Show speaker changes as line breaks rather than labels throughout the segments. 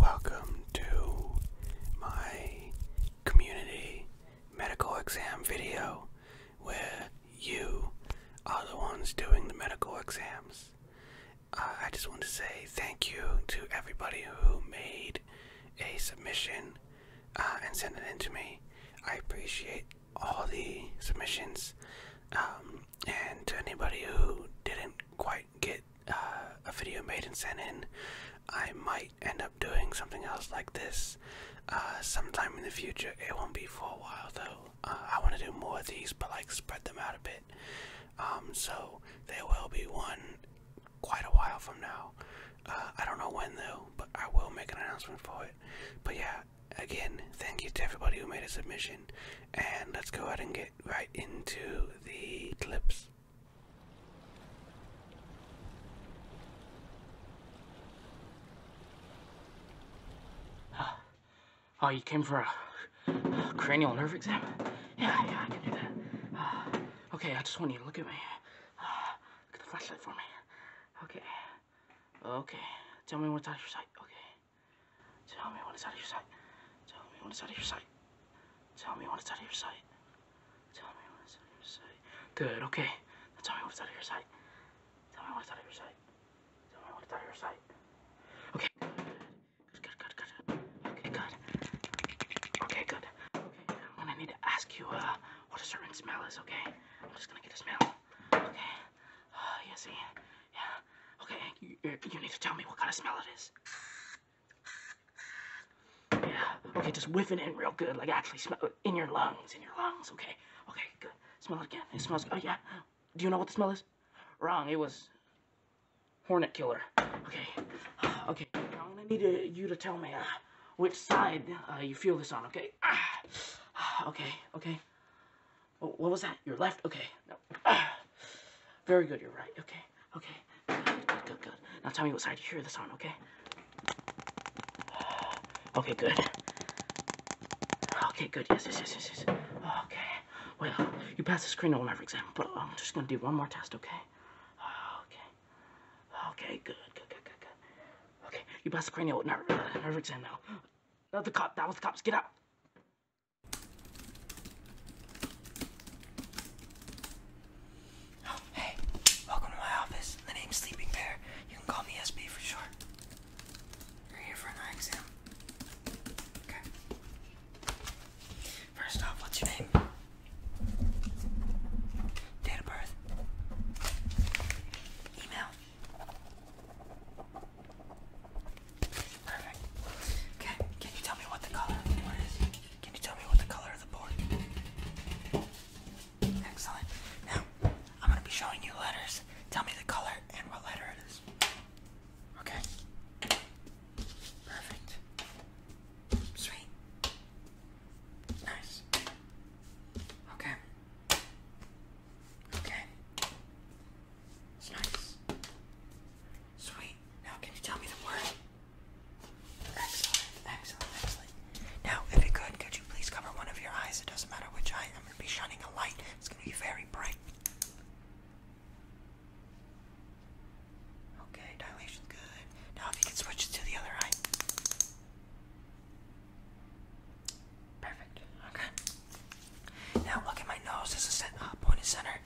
Welcome to my community medical exam video where you are the ones doing the medical exams. Uh, I just want to say thank you to everybody who made a submission uh, and sent it in to me. I appreciate all the submissions. Um, and to anybody who didn't quite get uh, a video made and sent in, I might end up doing something else like this uh, sometime in the future. It won't be for a while though. Uh, I want to do more of these, but like spread them out a bit. Um, so there will be one quite a while from now. I don't know when though, but I will make an announcement for it. But yeah, again, thank you to everybody who made a submission, and let's go ahead and get right into the clips.
Ah, oh, you came for a, cranial nerve exam? Yeah, yeah, I can do that. Ah, okay, I just want you to look at me. Ah, look at the flashlight for me. Okay. Okay. Tell me what's out your sight. Okay. Tell me what is out of your sight. Tell me what is out of your sight. Tell me what is out of your sight. Tell me what is out of your sight. Good, okay. Now tell me what is out of your sight. Tell me what is out of your sight. Tell me what is out of your sight. Okay, good. Good, good, good. Okay, good. Okay, good. Okay, I'm gonna need to ask you uh, what a certain smell is, okay? I'm just gonna get a smell. Okay. Uh, you see? Yeah. Okay, you, need to tell me what kind of smell it is. Yeah. Okay, just whiff it in real good. Like, actually smell in your lungs. In your lungs. Okay. Okay, good. Smell it again. It smells... Oh, yeah. Do you know what the smell is? Wrong. It was... Hornet killer. Okay. Okay. I'm gonna need you to tell me uh, which side uh, you feel this on, okay? Ah. Okay, okay. Oh, what was that? Your left? Okay. No. Very good. You're right. Okay. Okay. Good, good, good, Now tell me what side you hear the sound, okay? Okay, good. Okay, good. Yes, yes, yes, yes, yes. Okay. Well, you passed the screen on every exam, but I'm just going to do one more test, okay? Okay. Okay, good, good, good, good, good. Okay, you passed the cranial nerve, nerve exam now. That was cop. That was the cops. Get out.
Oh, hey. Welcome
to my office. The name's Sleeping Bear. You can call me SB for short.
You're here for an eye exam. Okay.
First off, what's
your name? Date of birth. Email.
Perfect. Okay, can you tell me what the color is? Can you tell me what the color of the board? Excellent. Now, I'm gonna be showing you letters. Tell me the color and what letter it is. Okay. Perfect. Sweet. Nice. Okay. Okay. It's nice. Sweet. Now, can you tell me the word? Excellent, excellent, excellent. Now, if you could, could you please cover one of your eyes? It doesn't matter which eye. I'm going to be shining a light. It's going to be very bright. Okay, dilation's good. Now, if you can switch it to the other eye. Perfect. Okay. Now look at my nose. This is uh, pointed center.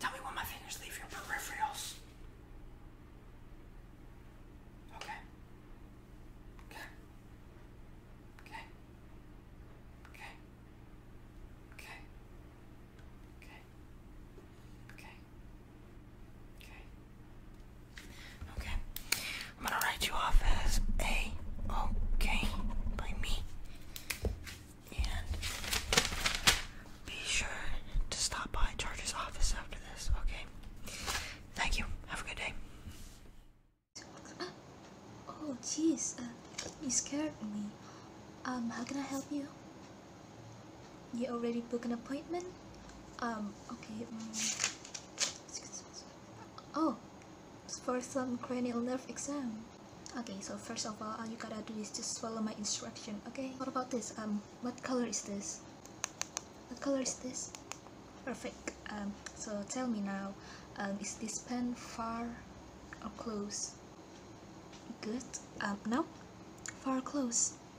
Tell me when my fingers leave your peripherals. Okay. Okay. Okay. Okay. Okay. Okay. Okay. Okay. I'm gonna write you off as a okay by me. And be sure to stop by George's office after this, okay? Thank you. Have a good day.
Uh, oh, jeez. Uh, you scared me. Um, how can I help you? You already booked an appointment? Um, okay. Mm. Oh, for some cranial nerve exam. Okay, so first of all, all uh, you gotta do is just follow my instruction, okay? What about this? Um, what color is this? What color is this? Perfect. Um, so tell me now, um, is this pen far or close? Good. Um, no? Far close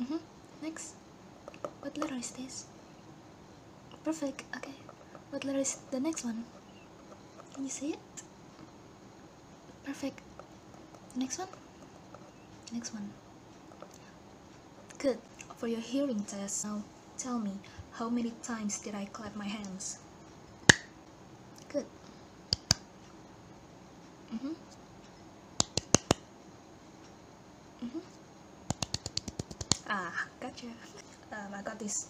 Mm hmm Next. What letter is this? Perfect. Okay. What letter is the next one? Can you see it? Perfect. Next one. Next one. Good. For your hearing test now, tell me how many times did I clap my hands? Good. Mm-hmm. Mm-hmm. Ah, gotcha. Um, I got this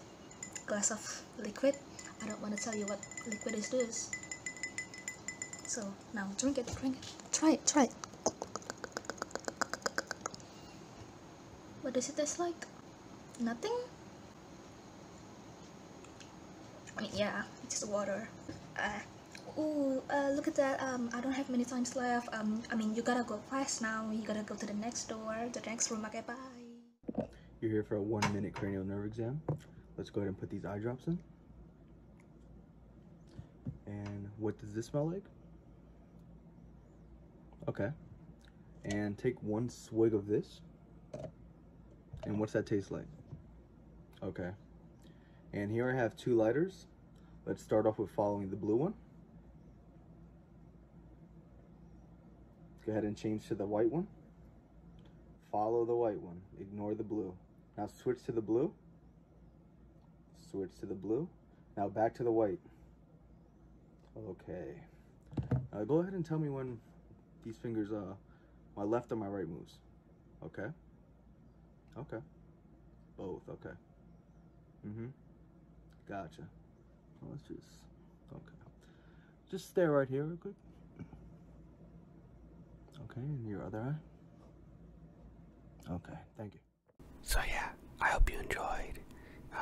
glass of liquid. I don't want to tell you what liquid is this. So now drink it, drink it. Try it, try it. What does it taste like? Nothing? I mean, yeah, just water. Uh, uh, look at that. Um, I don't have many times left. Um, I mean, you gotta go fast now. You gotta go to the next door, the next room. Okay, bye.
You're here for a one-minute cranial nerve exam. Let's go ahead and put these eye drops in. And what does this smell like? Okay. And take one swig of this. And what's that taste like? Okay. And here I have two lighters. Let's start off with following the blue one. Let's go ahead and change to the white one. Follow the white one, ignore the blue. Now switch to the blue, switch to the blue. Now back to the white. Okay. Uh, go ahead and tell me when these fingers, uh, my left and my right moves. Okay. Okay. Both. Okay. Mm-hmm. Gotcha. let's just, okay. Just stay right here real quick. Okay, and your other eye. Okay, thank you. So yeah, I hope you enjoyed. Uh,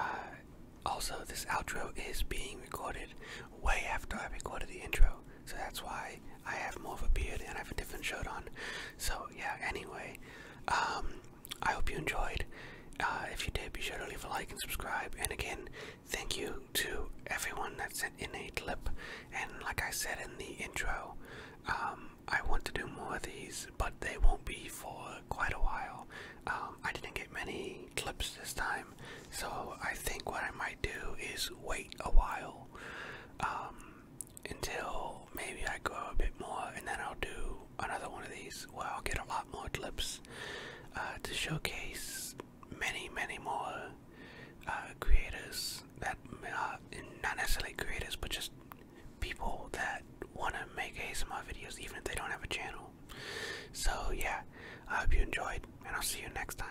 also, this outro is being recorded way after I recorded the intro, so that's why I have more of a beard and I have a different shirt on. So, yeah, anyway, um, I hope you enjoyed. Uh, if you did, be sure to leave a like and subscribe. And again, thank you to everyone that sent in a clip. And like I said in the intro, um, I want to do more of these, but they won't be for quite a while. Um, um, I didn't get many clips this time, so I think what I might do is wait a while um, until maybe I grow a bit more, and then I'll do another one of these where I'll get a lot more clips uh, to showcase many, many more uh, creators that uh, not necessarily creators, but just people that want to make ASMR videos even if they don't have a channel. So, yeah, I hope you enjoyed, and I'll see you next time.